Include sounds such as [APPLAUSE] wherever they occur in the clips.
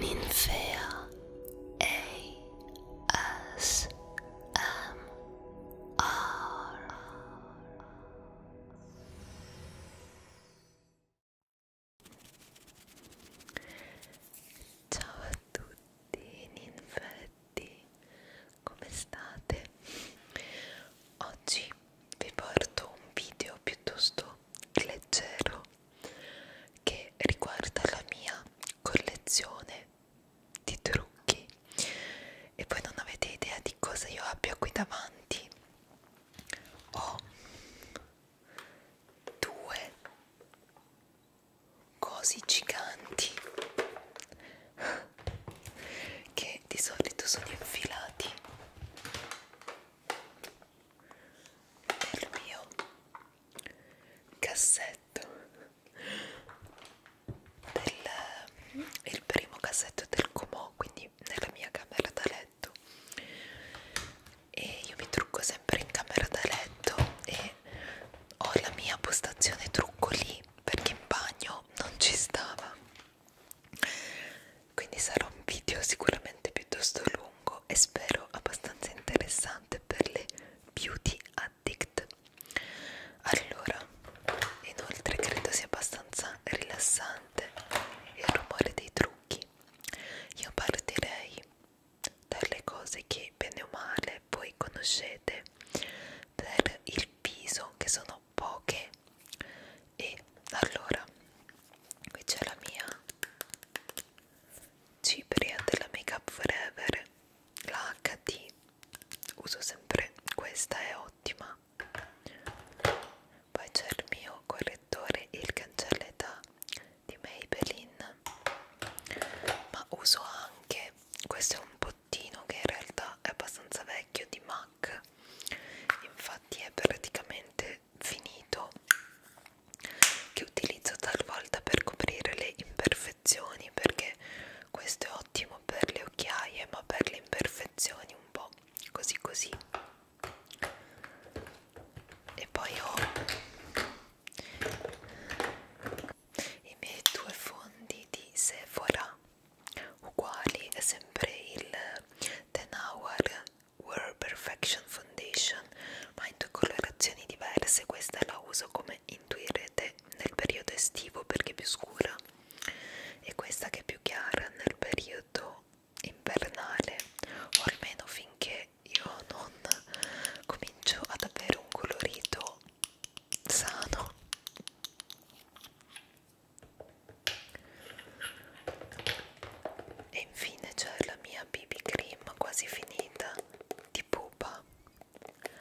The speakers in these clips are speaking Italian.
Ninfea ASMR Ciao a tutti ninfetti, come state? Oggi vi porto un video piuttosto leggero che riguarda la mia collezione di trucchi e voi non avete idea di cosa io abbia qui davanti ho due cose giganti che di solito sono infilati il mio cassetto del, eh, il primo cassetto del comò quindi nella mia camera da letto e io mi trucco sempre in camera da letto e ho la mia postazione trucco lì perché in bagno non ci stava quindi sarà un video sicuramente piuttosto lungo e spero abbastanza interessante per le beauty addict allora inoltre credo sia abbastanza rilassante il rumore dei trucchi io partirei dalle cose che bene o male voi conoscete per il viso che sono poche e allora qui c'è la mia Cipria della Make Up Forever, la HD, uso sempre questa, è ottima. Poi c'è il mio correttore e il cancelletta di Maybelline, ma uso anche, questo è un bottino che in realtà è abbastanza vecchio di MAC, infatti è praticamente finito che utilizzo talvolta per coprire le imperfezioni perché questo è ottimo per le occhiaie ma per le imperfezioni un po' così così e poi ho i miei due fondi di Sephora uguali è sempre il Ten Hour Wear Perfection Foundation ma in due colorazioni diverse questa la uso come intuirete nel periodo estivo perché è più scura e questa che è più chiara nel periodo invernale o almeno finché io non comincio ad avere un colorito sano e infine c'è la mia BB cream quasi finita di pupa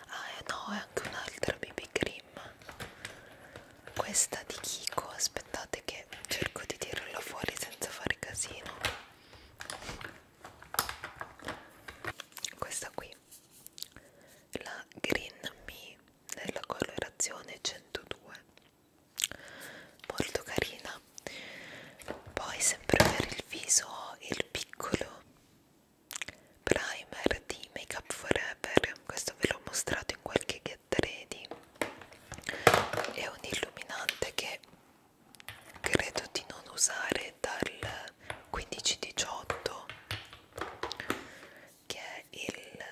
ah eh no è anche un'altra BB cream questa di Kiko aspettate che cerco di tirarla fuori senza fare casino questa qui la Green Me della colorazione 102 molto carina poi sempre per il viso ho il piccolo primer di Make Up Forever questo ve l'ho mostrato in qualche get ready è un illuminante che credo di non usare dal 15-18 che è il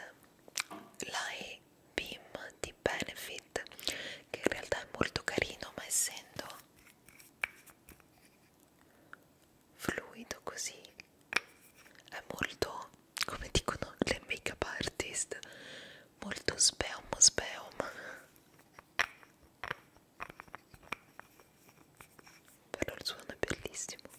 Light BIM di Benefit che in realtà è molto carino ma essendo fluido così è molto come dicono le make up artist molto speum speum però il suono è bellissimo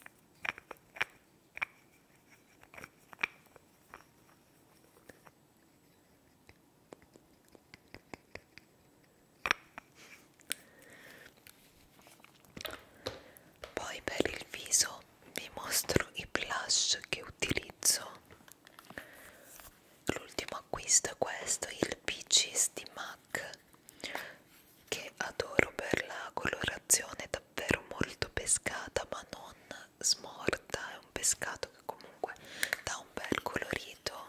poi per il viso vi mostro i blush che utilizzo. L'ultimo acquisto è questo, il Peaches di MAC, che adoro per la colorazione davvero molto pescata ma non smorta è un pescato che comunque dà un bel colorito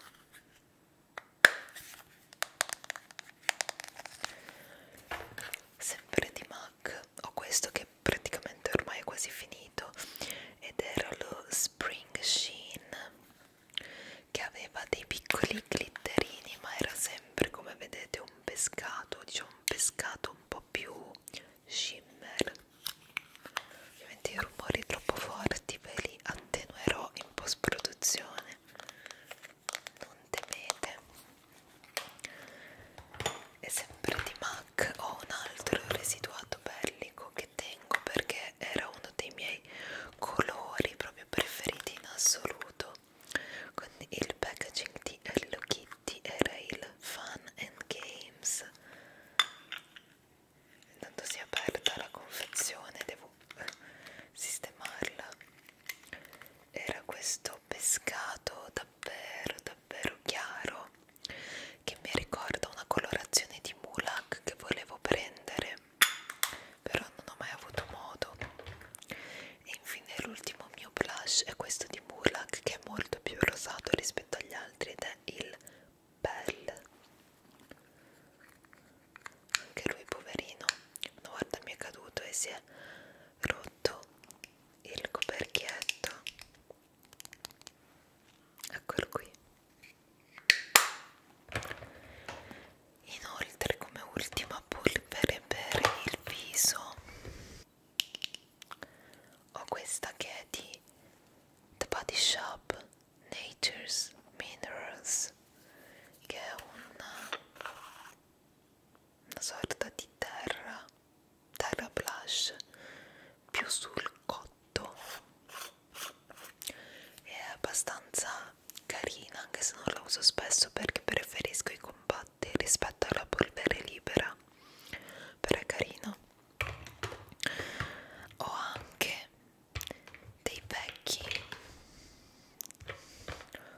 sempre di MAC ho questo che praticamente ormai è quasi finito ed era lo Spring Sheen che aveva dei piccoli glitterini ma era sempre come vedete un pescato diciamo un pescato un po' più shimmer ovviamente i rumori troppo forti ve li attenuerò in post produzione non temete e sempre di MAC ho un altro residuato bellico che tengo perché era uno dei miei colori proprio preferiti in assoluto con il packaging di Hello Kitty era il Fun and Gay Games intanto si è aperta la confezione devo sistemarla era questo pescato davvero davvero chiaro che mi ricorda una colorazione di mulak che volevo prendere però non ho mai avuto modo e infine l'ultimo mio blush è questo di mulak che è molto più rosato rispetto rispetto agli altri ed è il Bell anche lui poverino una volta mi è caduto e si è rotto il coperchietto eccolo qui inoltre come ultima polvere per il viso ho questa che è di The Body Shop Nature's Minerals che è una, una sorta di terra terra blush più sul cotto è abbastanza carina anche se non la uso spesso perché preferisco i compatti rispetto alla polvere libera però è carina ho anche dei vecchi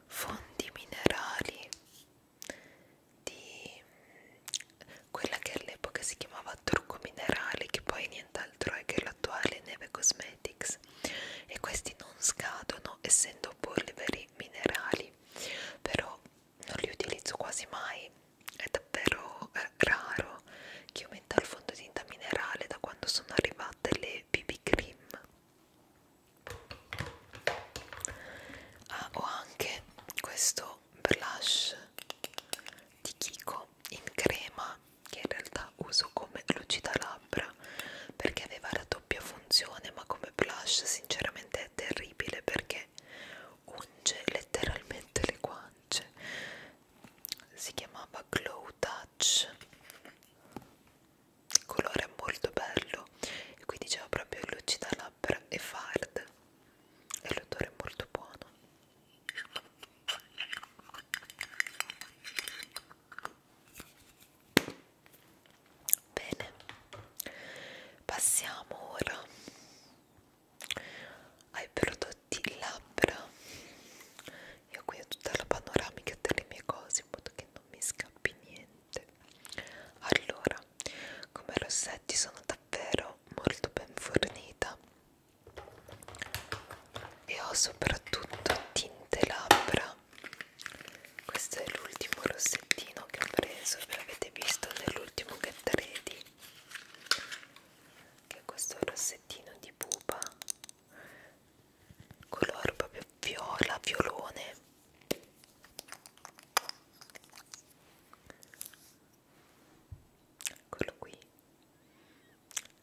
fondi minerali di quella che all'epoca si chiamava trucco minerale che poi nient'altro è che l'attuale Neve Cosmetics e questi non scadono essendo polveri minerali però non li utilizzo quasi mai è davvero eh, raro che aumenta il fondotinta minerale da quando sono arrivate le BB cream. Ah, ho anche questo blush di Kiko in crema che in realtà uso come lucida labbra perché aveva la doppia funzione ma come blush sinceramente è terribile perché unge letteralmente le guance si chiamava Glow Touch il colore è molto bello e qui diceva proprio lucida labbra e fard e l'odore è molto buono Bene, passiamo ora ai prodotti labbra io qui ho tutta la panoramica delle mie cose in modo che non mi scappi niente allora come rossetti sono davvero molto ben fornita e ho soprattutto tinte labbra questo è l'ultimo rossettino che ho preso ve l'avete visto nell'ultimo get ready che è questo rossettino di pupa color proprio viola violone eccolo qui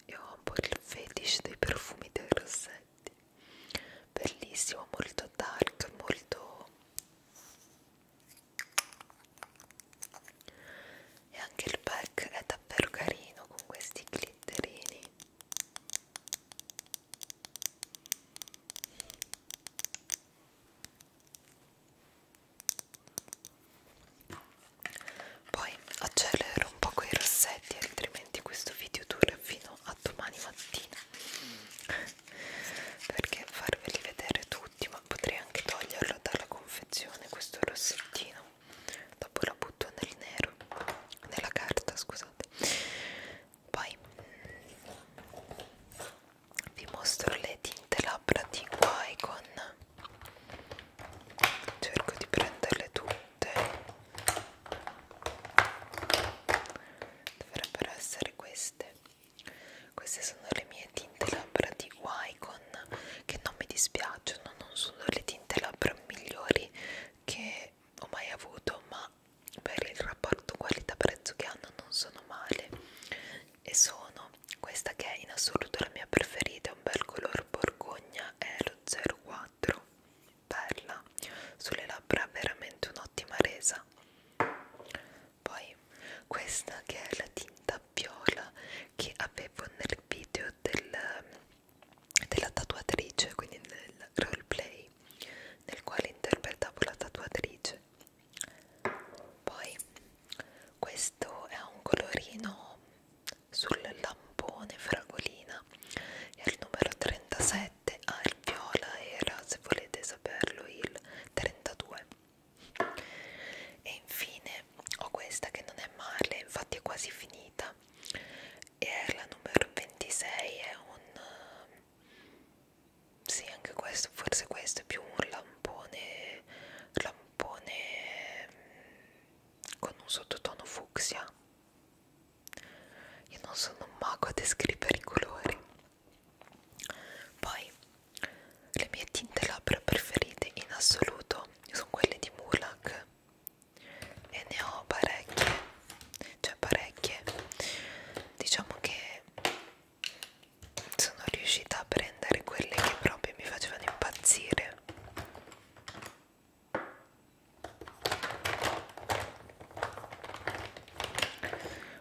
io ho un po' il fetish dei profumi dei rossetti bellissimo molto dark molto e anche il pack è davvero carino con questi glitterini poi accelero un po' con i rossetti altrimenti questo video dura fino a domani mattina [LAUGHS] perché farveli vedere tutti tutti ma potrei anche toglierlo dalla confezione questo rossettino dopo lo butto nel nero nella carta scusate poi vi mostro le tinte labbra di Wycon cerco di prenderle tutte dovrebbero essere queste queste sono le mie tinte labbra di Wycon che non mi dispiacciono, non sono le tinte labbra migliori che ho mai avuto, ma per il rapporto qualità-prezzo che hanno non sono male. E sono questa che è in assoluto la mia preferita, un bel color borgogna, è lo 04, bella, sulle labbra veramente un'ottima resa poi questa che è la tinta viola che avevo nel video del, della tatuatrice quindi nel roleplay nel quale interpretavo la tatuatrice poi questo è un colorino sul lampone fragolina è il numero 37 al ah, viola era se volete saperlo il 32 e infine ho questa che non è male infatti è quasi finita e è la numero 26 è un sì anche questo forse questo è più un lampone lampone con un sottotono fucsia io non sono un mago a descrivere i colori poi le mie tinte labbra preferite in assoluto sono quelle di Mulak e ne ho parecchie, cioè parecchie. Diciamo che sono riuscita a prendere quelle che proprio mi facevano impazzire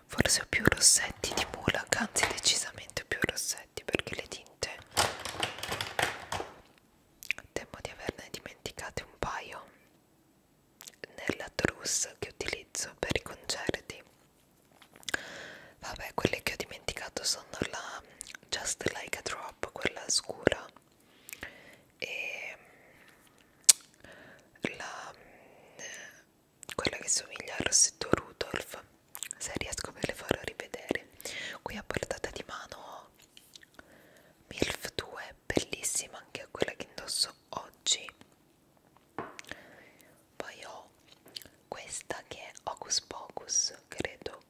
forse ho più rossetti di Mulak anzi decisamente più rossetti perché le tinte temo di averne dimenticate un paio nella trousse che utilizzo per i concerti vabbè quelle che ho dimenticato sono la Just Like a Drop quella scura e la quella che somiglia al rossetto Rudolf se riesco ve le farò rivedere qui a portata di mano ho Milf 2 bellissima anche quella che indosso oggi poi ho questa che è Hocus Pocus credo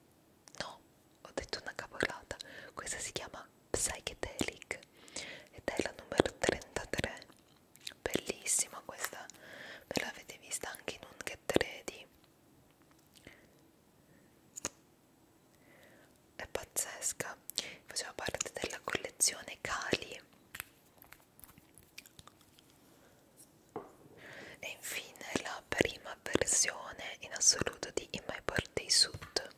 no ho detto una cavolata questa si chiama Psychedelic ed è la numero 33 bellissima questa me l'avete vista anche in un get ready è pazzesca faceva parte della collezione Cali e infine la prima versione in assoluto di In My Birthday Suit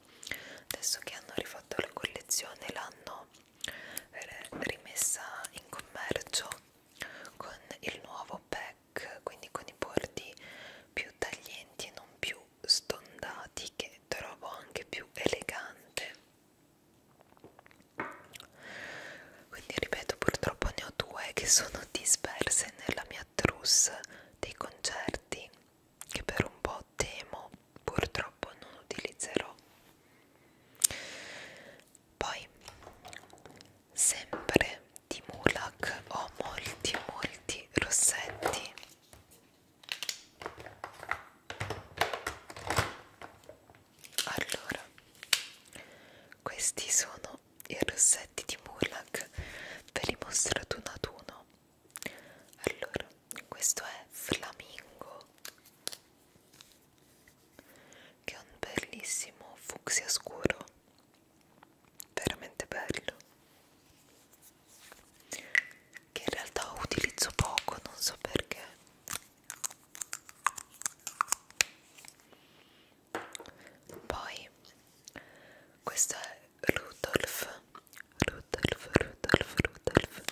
adesso che hanno rifatto la collezione l'hanno eh, rimessa in commercio con il nuovo pack quindi con i bordi più taglienti e non più stondati che trovo anche più elegante quindi ripeto purtroppo ne ho due che sono disperse nella mia trousse dei concerti che per un po' temo purtroppo non utilizzerò poi, sempre di Mulak ho molti, molti rossetti. Allora, questi sono i rossetti di Mulak, ve li mostro ad uno ad uno. Allora, questo è Flamingo che è un bellissimo fucsia scuro veramente bello che in realtà utilizzo poco non so perché poi questo è Rudolf Rudolf Rudolf Rudolf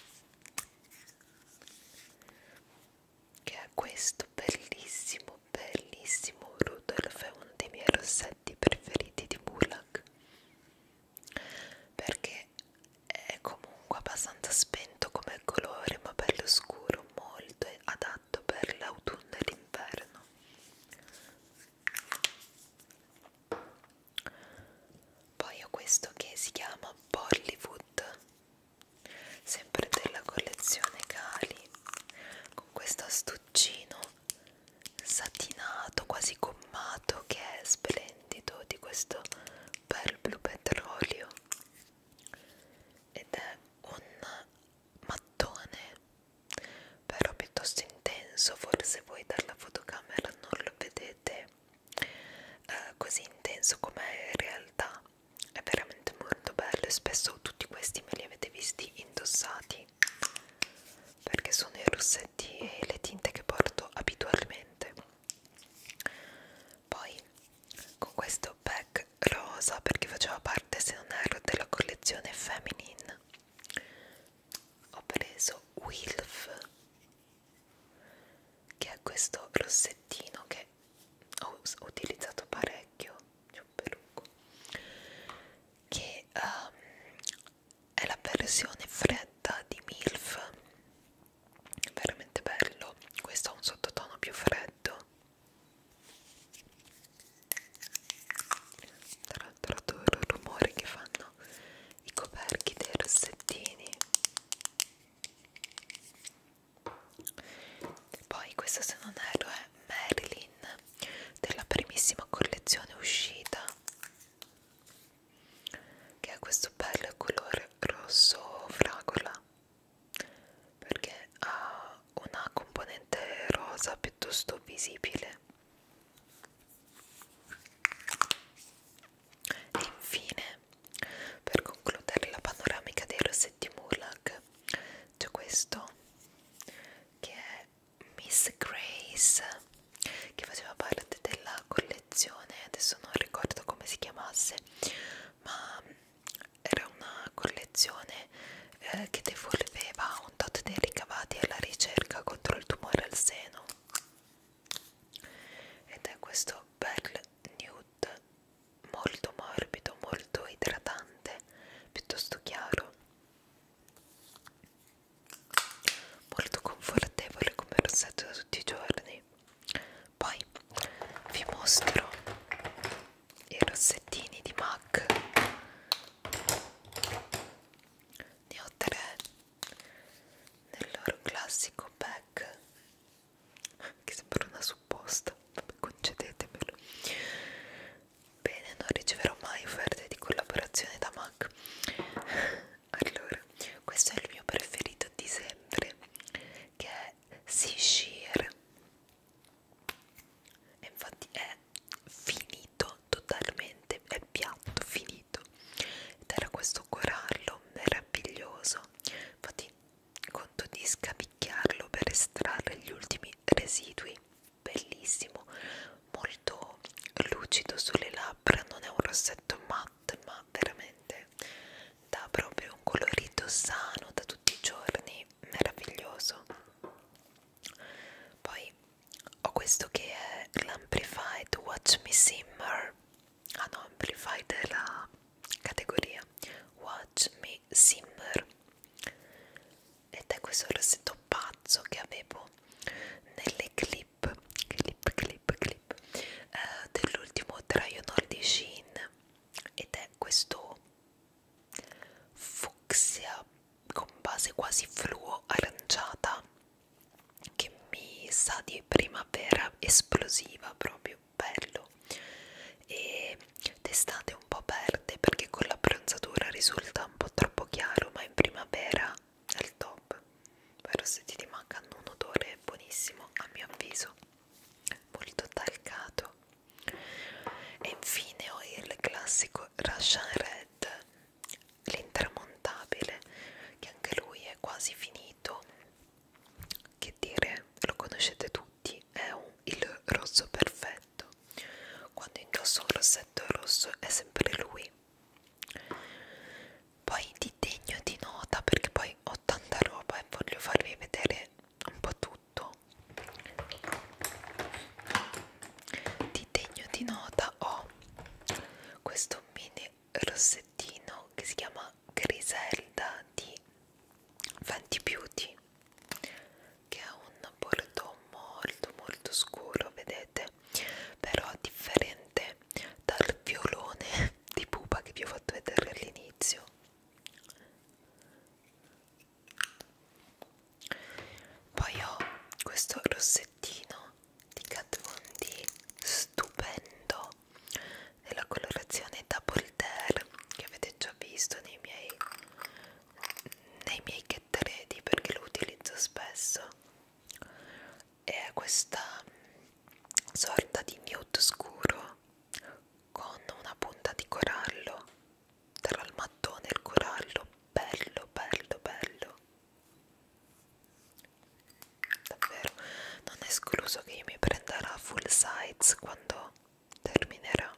che è questo bellissimo bellissimo Rudolf è uno dei miei rossetti preferiti di Bullock perché è comunque abbastanza spento come colore ma bello scuro molto adatto per l'autunno e l'inverno poi ho questo che si chiama Bollywood sempre della collezione Cali con questo astuccino satinato quasi gommato che è splendido di questo bel blu petrolio ed è un mattone però piuttosto intenso forse voi dalla fotocamera non lo vedete eh, così intenso come è in realtà è veramente molto bello e spesso tutti questi me li avete visti indossati perché sono i rossetti e le tinte che porto abitualmente poi con questo pack rosa perché faceva parte se non erro della collezione feminine ho preso Wilf che è questo rossettino che ho utilizzato parecchio che um, è la versione fredda di Milf veramente bello questo ha un sottotono più freddo tra, tra, tra il rumore che fanno i coperchi dei rossettini poi questa se non erro è Marilyn della primissima collezione uscita che ha questo bel colore rosso fragola perché ha una componente rosa piuttosto visibile e infine per concludere la panoramica dei rossetti Murloc c'è questo che è Miss Grace che faceva parte della collezione adesso non ricordo come si chiamasse ma era una collezione eh, che devolveva un tot dei ricavati alla ricerca contro il tumore al seno ed è questo bel nude molto morbido, molto idratante, piuttosto chiaro molto confortevole come rossetto da tutti i giorni poi vi mostro i rossettini di MAC ne ho tre nel loro classico pack che sembra una supposta, concedetemelo. Bene, non riceverò mai offerte di collaborazione da Mac. [LAUGHS] Allora, questo è il mio preferito di sempre, che è Sea Shear. E infatti è finito totalmente, è piatto, finito. Ed era questo corallo meraviglioso infatti conto di scapicchiarlo per estrarre gli ultimi residui bellissimo molto lucido sulle labbra non è un rossetto matte ma veramente dà proprio un colorito sano da tutti i giorni meraviglioso poi ho questo che è l'Amplified Watch Me Simmer ah no, Amplify della categoria Watch Me Simmer ed è questo rossetto pazzo che avevo nelle clip clip clip clip eh, dell'ultimo Dragonor di Shein ed è questo fucsia con base quasi fluo aranciata che mi sa di primavera esplosiva proprio bello e d'estate un po' perde perché con la bronzatura risulta un po' troppo chiaro ma in primavera è il top però se ti mancano un odore buonissimo a mio avviso molto talcato e infine ho il classico Russian Red l'intramontabile che anche lui è quasi finito che dire, lo conoscete tutti, è un, il rosso perfetto. Quando indosso un rossetto rosso è sempre lui. Poi ti degno di nota perché poi ho tanta roba e voglio farvi vedere un po' tutto. Ti degno di nota ho questo mini rossettino che si chiama Griselda di Fenty Beauty che è un bordeaux molto molto scuro vedete però differente dal violone [LAUGHS] di pupa che vi ho fatto vedere all'inizio poi ho questo rossettino di Kat Von D stupendo della colorazione Double Tear che avete già visto nei miei nei miei get ready perché lo utilizzo spesso e è questa sorta di nude scuro con una punta di corallo tra il mattone e il corallo bello bello bello davvero non è escluso che io mi prenda la full size quando terminerà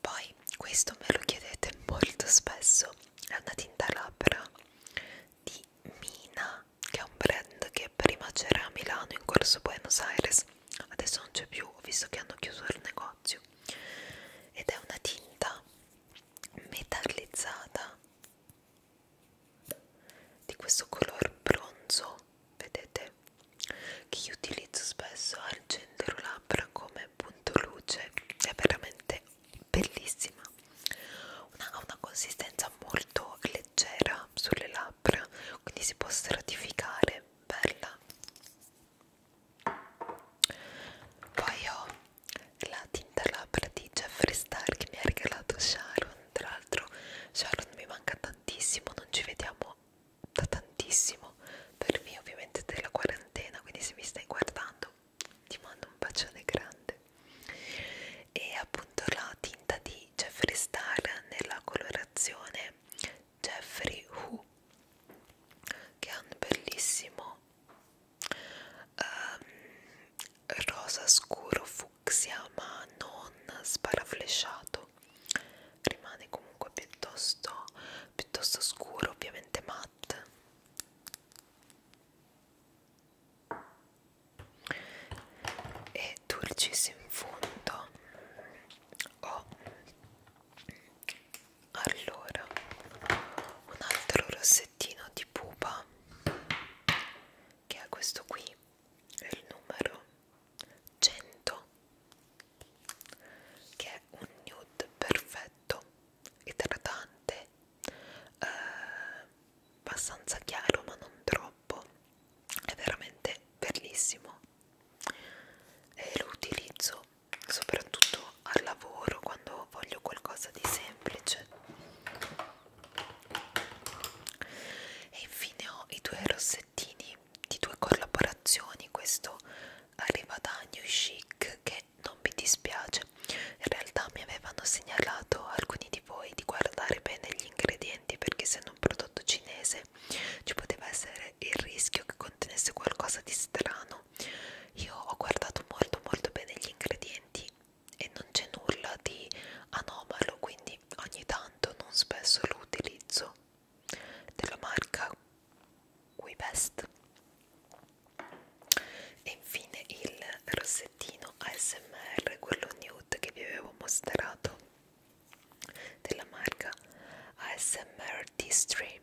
poi questo me lo chiedete molto spesso è una tinta labbra di Mina che è un brand che prima c'era a Milano in corso Buenos Aires adesso non c'è più ho visto che hanno chiuso il negozio ed è una tinta metallizzata di questo color bronzo vedete che io utilizzo spesso al centro labbra come punto luce è veramente bellissima ha una, una consistenza molto leggera sulle labbra quindi si può stratificare bella poi ho la tinta labbra di Jeffree Star che mi ha regalato Sharon tra l'altro Sharon mi manca tantissimo non ci vediamo da tantissimo per me ovviamente della quarantena quindi se mi stai guardando ti mando un bacione grande e appunto la tinta di Jeffree Star nella colorazione Jeffree Who che ha un bellissimo um, rosa scuro fucsia ma non sparaflesciato rimane comunque piuttosto piuttosto scuro ovviamente matte e dolcis in fondo oh. allora un altro rosé pezzettino di pupa che è questo qui è il numero 100 che è un nude perfetto idratante eh, abbastanza chiaro ma non troppo è veramente bellissimo e lo utilizzo soprattutto al lavoro quando voglio qualcosa di semplice e infine ho i due rossettini di due collaborazioni questo arriva da New Chic che non mi dispiace in realtà mi avevano segnalato alcuni di voi di guardare bene gli ingredienti perché essendo un prodotto cinese ci poteva essere il rischio che contenesse qualcosa di strano io ho guardato molto molto bene gli ingredienti e non c'è nulla di anomalo, quindi ogni tanto non spesso lo utilizzo della marca Quibest. E infine il rossettino ASMR, quello nude che vi avevo mostrato della marca ASMR T-Stream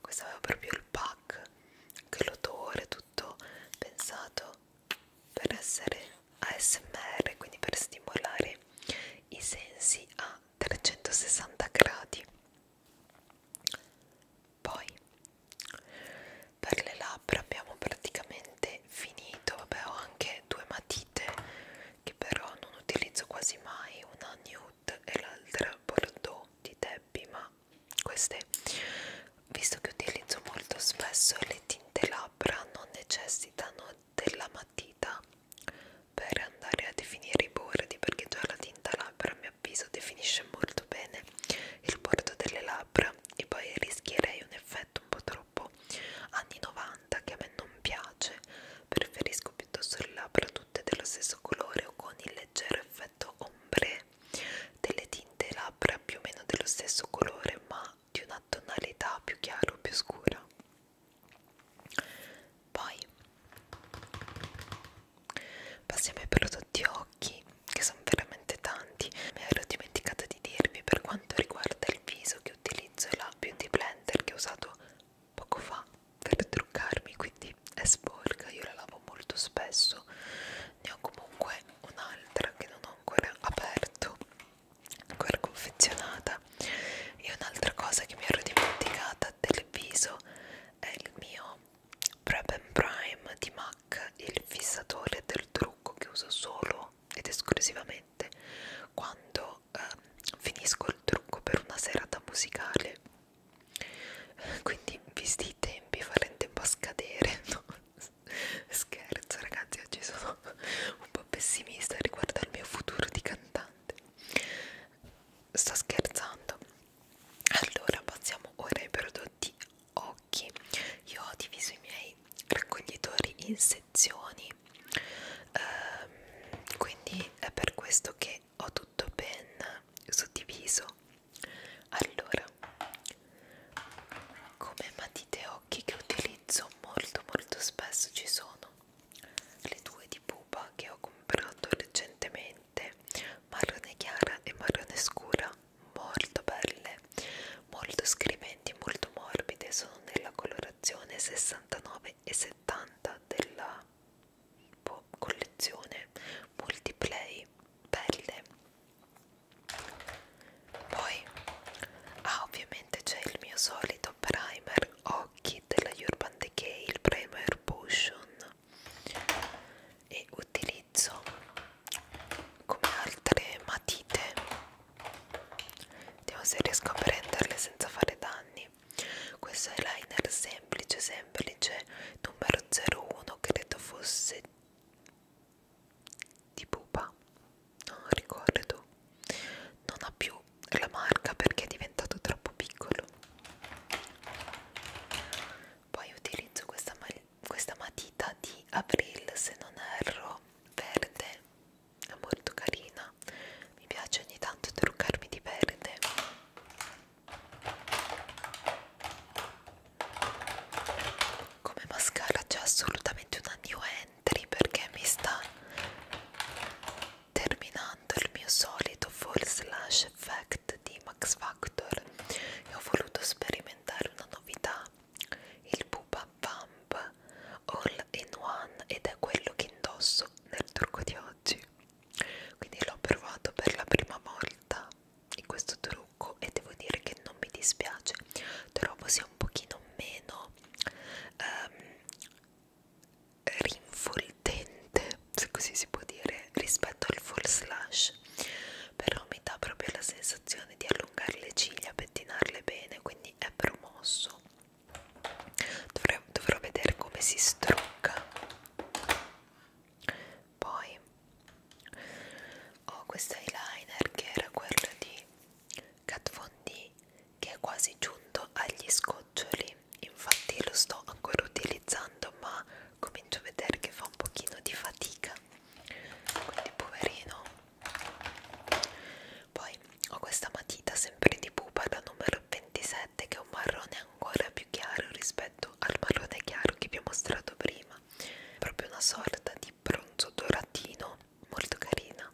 questo aveva proprio il pack anche l'odore tutto pensato per essere ASMR quindi per stimolare i sensi a 360 gradi poi per le labbra abbiamo praticamente finito vabbè ho anche due matite che però non utilizzo quasi mai una nude e l'altra bordeaux di Debbie ma ma queste visto che utilizzo molto spesso le tinte labbra non necessitano della matita per andare a definire i bordi perché già la tinta labbra a mio avviso definisce molto bene il bordo delle labbra e poi rischierei un effetto un po' troppo anni 90 che a me non piace preferisco piuttosto le labbra tutte dello stesso colore o con il leggero effetto ombre delle tinte labbra più o meno dello stesso colore ma di una tonalità più chiara o più scura poi passiamo ai prodotti occhi che sono veramente tanti mi ero dimenticata di dirvi per quanto riguarda il viso che utilizzo la beauty blender che ho usato poco fa per truccarmi qui quindi è sporca io la lavo molto spesso ne ho comunque un'altra che non ho ancora aperto ancora confezionata e un'altra cosa che mi ero dimenticata del viso è il mio Prep and Prime di MAC il fissatore del trucco che uso solo ed esclusivamente quando eh, finisco il trucco per una serata musicale quindi visti i tempi farete tempo a scadere [LAUGHS] no? scherzo ragazzi oggi sono un po' pessimista riguardo al mio futuro di cantante sto scherzando allora passiamo ora ai prodotti occhi io ho diviso i miei raccoglitori in sezioni ehm, quindi è per questo che che ho tutto ben suddiviso allora come matite occhi che utilizzo molto molto spesso ci sono le due di pupa che ho comprato recentemente marrone chiara e marrone scura molto belle molto scriventi molto morbide sono nella colorazione 69 e 70 della boh, collezione multiplay pelle poi ah ovviamente c'è il mio solito primer occhi della Urban Decay il primer potion e utilizzo come altre matite vediamo se riesco a prenderle senza fare danni questo eyeliner se semplice semplice numero 01 credo fosse di pupa non ricordo non ha più la marca perché è diventato troppo piccolo poi utilizzo questa, ma questa matita di April se non erro verde è molto carina mi piace ogni tanto truccarmi di verde come mascara c'è assolutamente una new entry perché mi sta terminando il mio solito full slash effect di Max Factor e ho voluto sperimentare una novità il Pupa Pump All in One ed è quello che indosso nel trucco di oggi quindi l'ho provato per la prima volta in questo trucco e devo dire che non mi dispiace trovo sia un pochino meno um, ehm, rinfoltente se così si può dire rispetto al full slash però mi dà proprio la sensazione di allungare le ciglia pettinarle bene quindi è promosso dovrò, dovrò vedere come si strucca poi ho questo eyeliner che era quello di Kat Von D che è quasi giunto agli scoccioli infatti lo sto ancora utilizzando ma comincio a vedere che fa un pochino di fatica quindi poverino poi ho questa matita sempre di pupa la numero 26 7 che è un marrone ancora più chiaro rispetto al marrone chiaro che vi ho mostrato prima proprio una sorta di bronzo doratino molto carina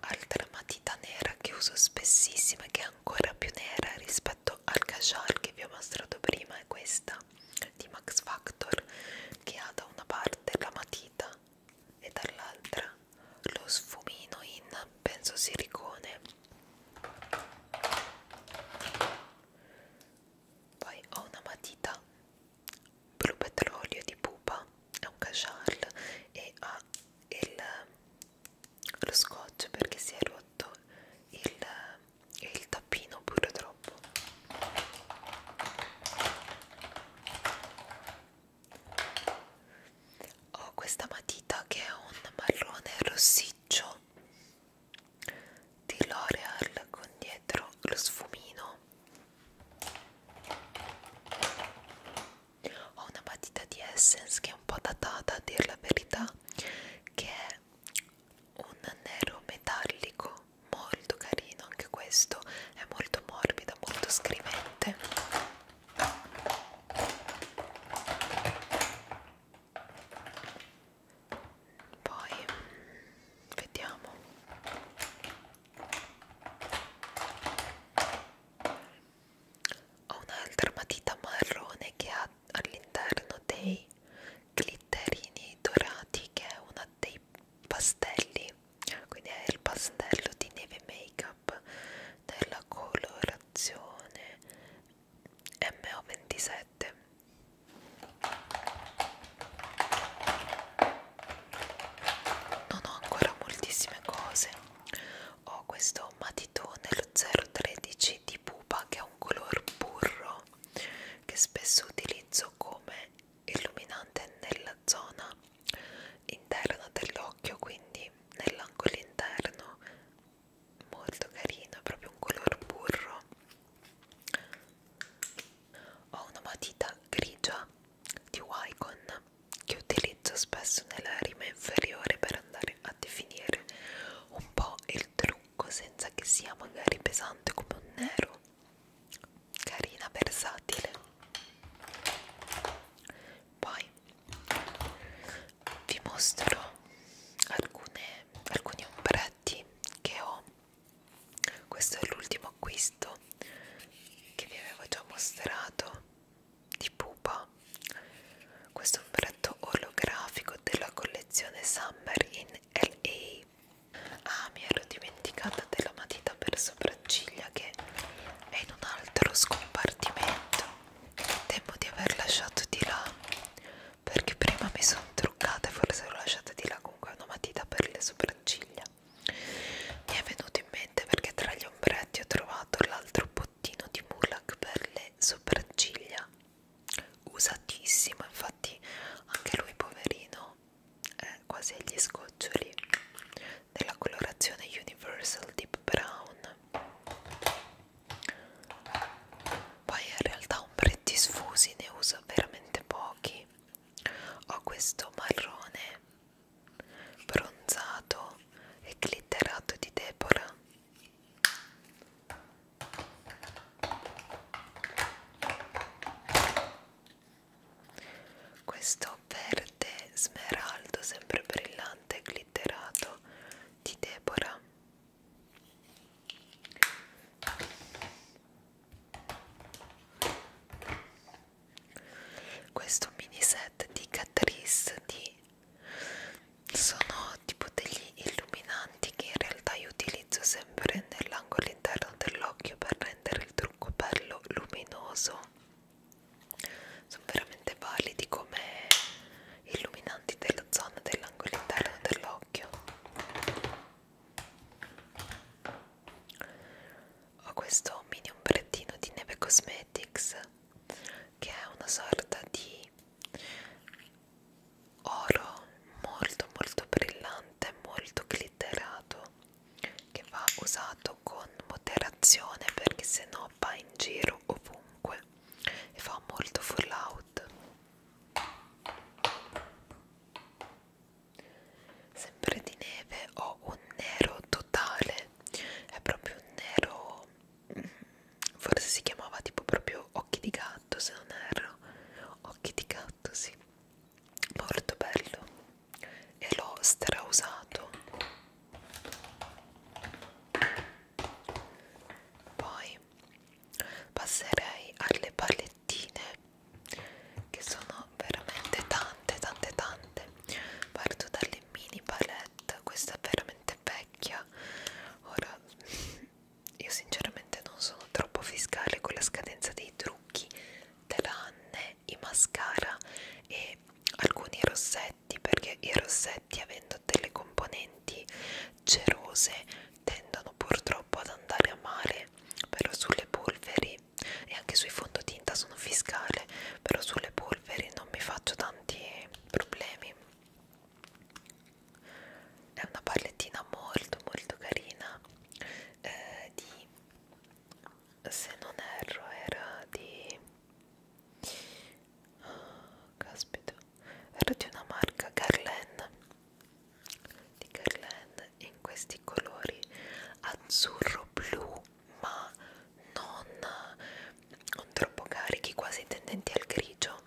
altra matita nera che uso spessissima che è ancora più nera rispetto al casual che vi ho mostrato prima è questa di Max Factor che ha da una parte la matita e dall'altra lo sfumino in penso silicone poi ho una matita blu petrolio di pupa è un cachal e ha il, lo scotch perché si è rotto il, il tappino purtroppo ho questa matita che è un marrone rossiccio di L'Oreal con dietro lo sfumino ho una matita di Essence che è un po' datata a dir la verità che è un nero metallico molto carino anche questo è molto morbido molto scrivente poi vediamo. Ho un'altra matita marrone che ha all'interno dei glitterini dorati che è uno dei pastelli quindi è il pastello di neve make up della colorazione MO27 non ho ancora moltissime cose ho questo matitone lo 013 di pupa che ha un color burro che spesso utilizzo come illuminante nella zona interna dell'occhio quindi nell'angolo interno molto carino proprio un color burro ho una matita grigia di Wycon che utilizzo spesso nella rima inferiore per andare a definire un po' il trucco senza che sia magari pesante come un nero carina versatile poi vi mostro alcune, alcuni ombretti che ho questo è l'ultimo acquisto che vi avevo già mostrato di pupa questo è un ombretto olografico della collezione Summer in LA ah mi ero dimenticata della matita per sopracciglia che è in un altro scompartimento temo di aver lasciato di là perché prima mi sono truccata e forse l'ho lasciata di là comunque una matita per le sopracciglia mi è venuto in mente perché tra gli ombretti ho trovato l'altro bottino di Mulak per le sopracciglia usatissimo infatti anche lui poverino è eh, quasi agli scoccioli della colorazione Universal Deep Brown poi in realtà ombretti sfusi ne uso veramente pochi ho questo marrone bronzato e glitterato di Deborah questo tono verde smeraldo sempre brillante e glitterato di Deborah questo mini set di Catrice di sono tipo degli illuminanti che in realtà io utilizzo sempre nell'angolo interno dell'occhio per rendere il trucco bello luminoso sono veramente validi come illuminanti della zona dell'angolo interno dell'occhio ho questo mini ombrettino di Neve Cosmetics che è una sorta di oro molto molto brillante molto glitterato che va usato tutto con moderazione perché sennò va in giro ovunque e fa molto fallout sempre di neve ho un nero totale è proprio un nero forse si chiamava tipo proprio occhi di gatto se non erro occhi di gatto sì molto bello e l'ho strausato poi passerei alle palettine che sono veramente tante tante tante parto dalle mini palette questa è veramente vecchia ora io sinceramente non sono troppo fiscale con la scadenza dei trucchi tranne i mascara e alcuni rossetti rossetti perché i rossetti avendo delle componenti cerose tendono purtroppo ad andare a male però sulle polveri e anche sui fondotinta sono fiscale però sulle polveri non mi faccio tanti problemi è una palettina molto molto carina eh, di se non erro era di oh, caspita era di una marca Garland di Garland in questi colori azzurro blu ma non, non troppo carichi quasi tendenti al grigio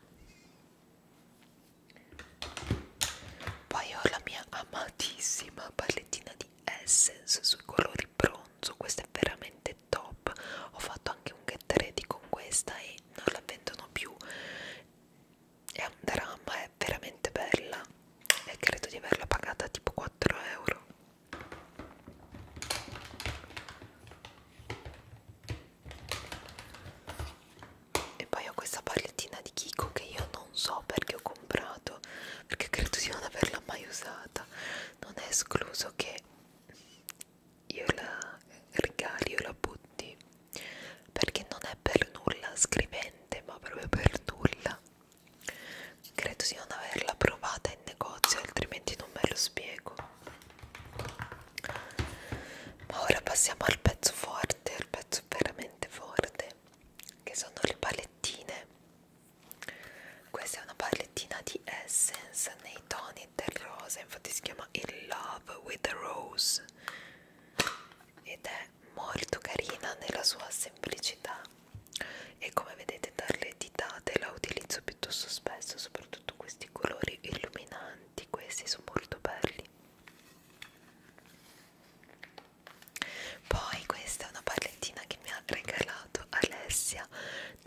poi ho la mia amatissima palettina di Essence sui colori bronzo questa è veramente è top ho fatto anche un get ready con questa e non la vendono più è un dramma è veramente bella e credo di averla pagata tipo 4 euro e poi ho questa palettina di Kiko che io non so perché ho comprato perché credo di non averla mai usata non è escluso che io la regali, io la butti perché non è per nulla scrivente, ma proprio per nulla. Credo di non averla provata in negozio, altrimenti non me lo spiego. Ma ora passiamo al pezzo forte, al pezzo veramente forte, che sono le palettine questa è una palettina di Essence nei toni del rosa, infatti si chiama In Love with the Rose ed è molto carina nella sua semplicità e come vedete dalle ditate la utilizzo piuttosto spesso, soprattutto questi colori illuminanti, questi sono molto belli. Poi questa è una palettina che mi ha regalato Alessia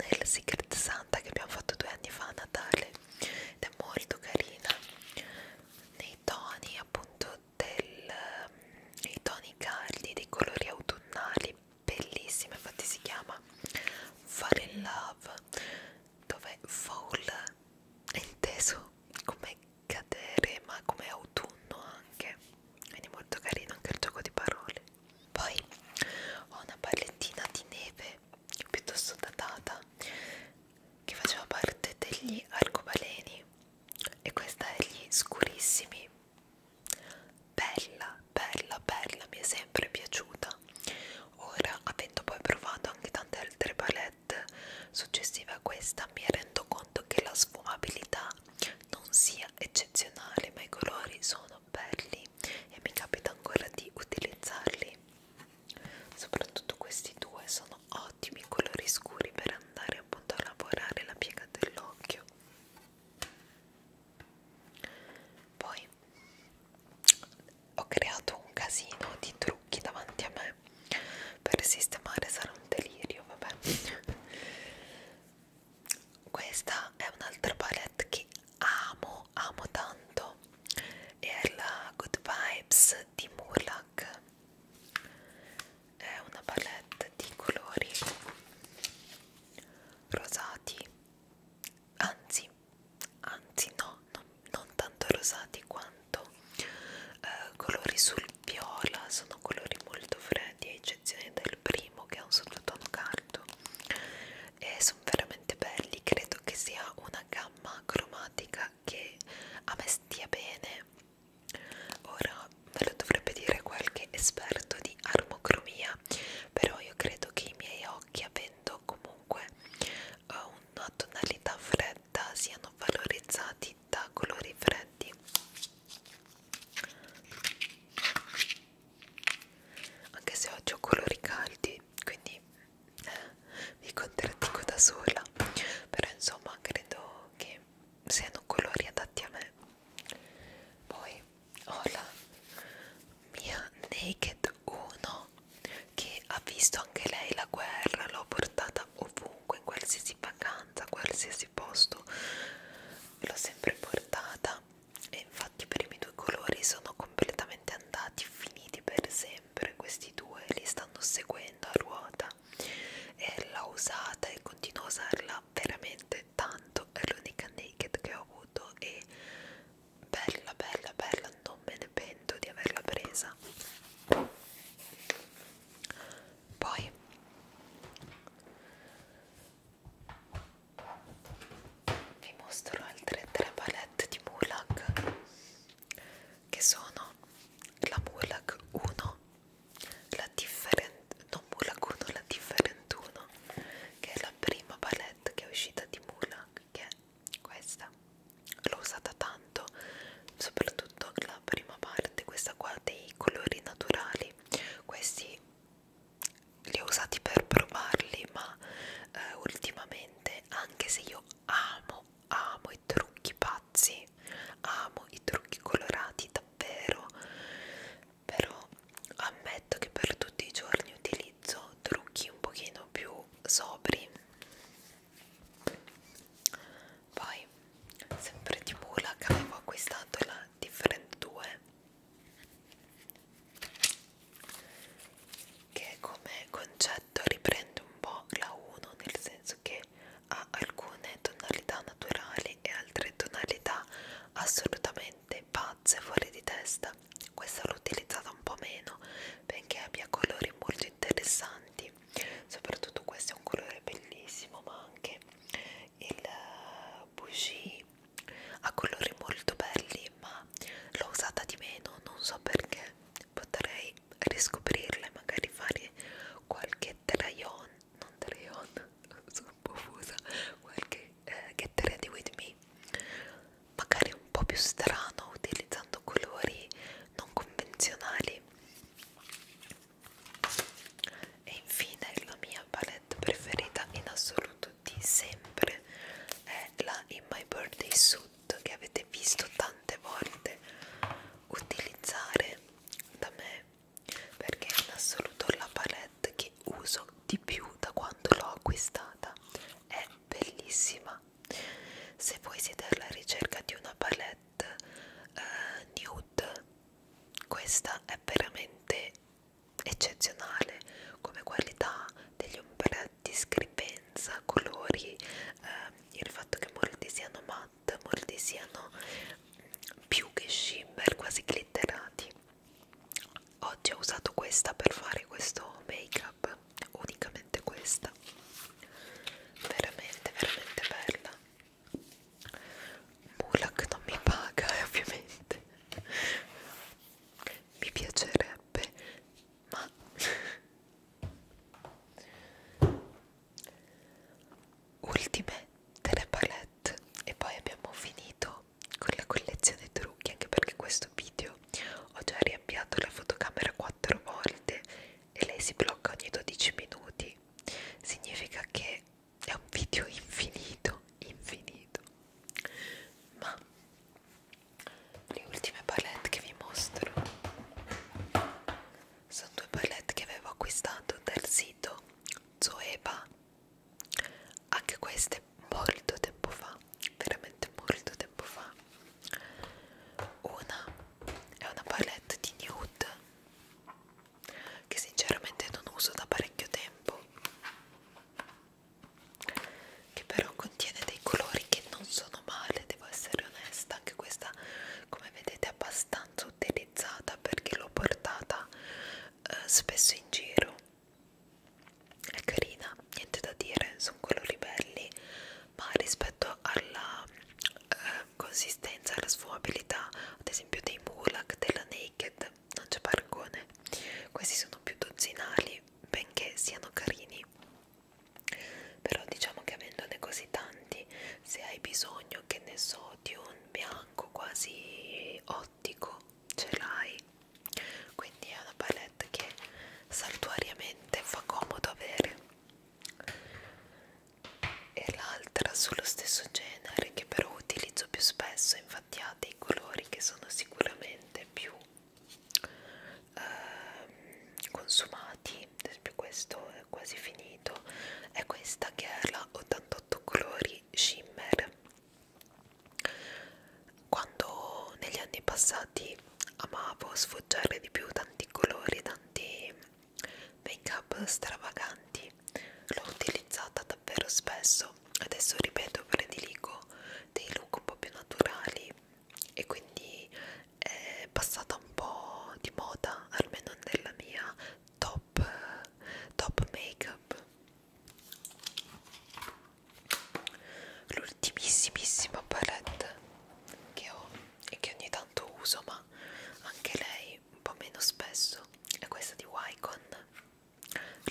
nel Secret Santa che abbiamo fatto due anni fa a Natale ed è molto carina nei toni appunto del, nei toni caldi dei colori autunnali bellissima infatti si chiama Fall in Love dove fall è inteso come cadere ma come autunno anche quindi molto carino anche il gioco di parole poi ho una palettina di neve piuttosto datata che faceva parte degli arcobaleni e questa è gli scurissimi bella bella bella mi è sempre piaciuta ora avendo poi provato anche tante altre palette successive a questa mi rendo conto che la sfumabilità non sia eccezionale ma i colori sono belli e mi capita ancora di utilizzarli soprattutto questi due sono ottimi colori scuri per andare appunto a lavorare la piega dell'occhio poi ho creato un casino di trucchi davanti a me per sistemare sarà un delirio vabbè questa è un'altra palette che amo amo tanto è la Good Vibes di Murlac è una palette di colori rosati anzi anzi no non, non tanto rosati quanto eh, colori sul viola sono colori molto freddi e eccezione del primo che è un sottotono caldo e sono veramente belli credo che sia una gamma cromatica che a me stia bene ora me lo dovrebbe dire qualche esperto di armocromia però io credo che i miei occhi avendo comunque eh, una tonalità fredda siano valorizzati da colori freddi anche se oggi ho colori caldi quindi eh, mi contraddico da sola però insomma credo che siano colori adatti a me poi ho la mia Naked 1 che ha visto anche lei la guerra l'ho portata ovunque in qualsiasi vacanza qualsiasi posto l'ho sempre portata e infatti i primi due colori sono completamente andati finiti per sempre questi due li stanno seguendo a ruota e l'ho usata e continuo a usarla veramente tanto è l'unica naked che ho avuto e bella bella bella non me ne pento di averla presa poi vi mostro altre tre palette di Mulak che sono la Mulak 1 la different non Mulak 1 la different 1 che è la prima palette che è uscita di Mulak che è questa l'ho usata tanto soprattutto la prima parte questa qua dei colori naturali questi li ho usati per provarli ma eh, ultimamente anche se io amo amo i trucchi pazzi amo i trucchi colorati davvero però ammetto che per tutti i giorni utilizzo trucchi un pochino più sobri poi sempre di Mulac avevo acquistato la Different 2 che come concetto riprende un po' la 1 nel senso che ha alcune tonalità naturali e altre tonalità assolutamente pazze fuori di testa questa l'ho utilizzata un po' meno benché abbia colori molto interessanti soprattutto questo è un colore bellissimo ma anche il eh, bougie ha colori molto belli ma l'ho usata di meno non so perché potrei riscoprirla magari fare qualche trayon non trayon [LAUGHS] sono un po' fusa qualche eh, get ready with me magari un po' più strano utilizzando colori non convenzionali e infine la mia palette band preferita in assoluto di sempre è la In My Birthday Suit che avete visto tante volte utilizzare da me perché è in assoluto la palette che uso di più da quando l'ho acquistata è bellissima se voi siete alla ricerca di una palette eh, nude questa è veramente eccezionale come qualità degli ombretti, scrivenza, colori, eh, il fatto che molti siano matte, molti siano più che shimmer, quasi glitterati. Oggi ho usato questa per fare questo make up, unicamente questa, veramente, veramente bella. Mulak non mi paga [LAUGHS] ovviamente mi piacerebbe ma ultime delle palette e poi abbiamo finito con la collezione trucchi anche perché questo video ho già riavviato la fotocamera 4 volte e lei si blocca ogni 12 minuti significa che è un video infinito infinito ma le ultime palette che vi mostro sono due palette che avevo acquistato dal sito Zoeva anche queste molto tempo fa veramente molto tempo fa una è una palette di nude che sinceramente non uso da parecchio tempo che però contiene dei colori che non sono male devo essere onesta anche questa come vedete è abbastanza utilizzata perché l'ho portata eh, spesso in giro è carina niente da dire sono colori belli ma rispetto alla eh, consistenza e la sfumabilità ad esempio dei Mulak della Naked non c'è paragone questi sono più dozzinali benché siano carini però diciamo che avendone così tanti se hai bisogno che ne so di un bianco quasi ottico ce l'hai quindi è una palette che saltuariamente fa comodo avere e l'altra sullo stesso genere che però utilizzo più spesso infatti infatti ha dei colori che sono sicuramente più eh, consumati ad esempio questo è quasi finito è questa che è la 88 colori shimmer quando negli anni passati amavo sfoggiare di più tanti colori tanti make up stravaganti l'ho utilizzata davvero spesso adesso ripeto prediligo dei look un po' più naturali e quindi è passata un po' di moda almeno nella mia top, top make up l'ultimissimissima palette che ho e che ogni tanto uso ma anche lei un po' meno spesso è questa di Wycon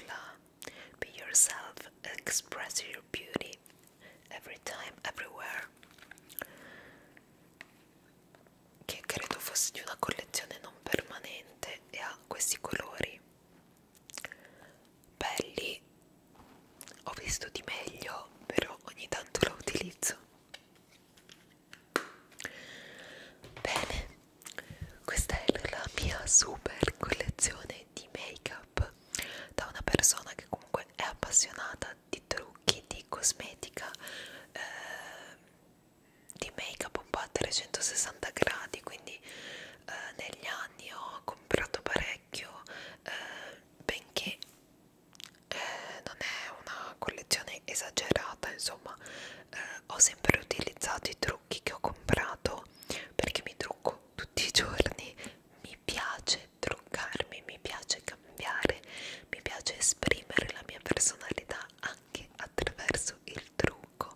la. Be yourself, express your beauty every time, everywhere. Che credo fosse di una collezione non permanente e ha questi colori belli. Ho visto di meglio, però ogni tanto lo utilizzo. Bene, questa è la mia super collezione di make up da una persona che comunque è appassionata di trucchi, di cosmetica, eh, di make up un po' a 360 gradi, quindi eh, negli anni ho comprato parecchio, eh, benché eh, non è una collezione esagerata, insomma eh, ho sempre utilizzato i trucchi che ho comprato perché mi trucco tutti i giorni mi piace truccarmi mi piace cambiare mi piace esprimere la mia personalità anche attraverso il trucco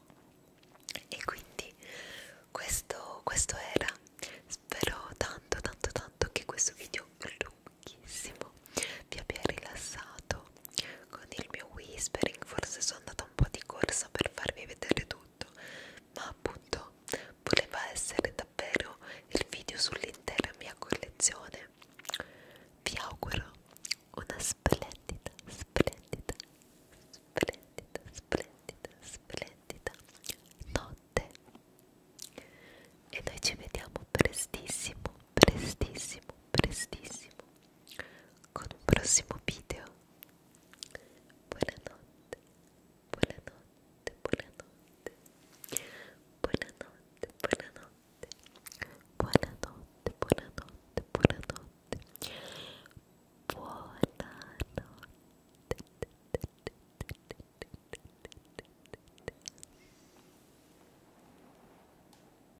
e quindi questo, questo era spero tanto tanto tanto che questo video lunghissimo vi abbia rilassato detto con il mio whispering forse sono andata un po' di corsa per farvi vedere tutto ma appunto voleva essere davvero il video sull'intera mia collezione vi auguro una splendida splendida splendida splendida splendida notte e noi ci vediamo prestissimo prestissimo prestissimo con un prossimo video buonanotte buonanotte buonanotte buonanotte buonanotte buonanotte buonanotte buonanotte buonanotte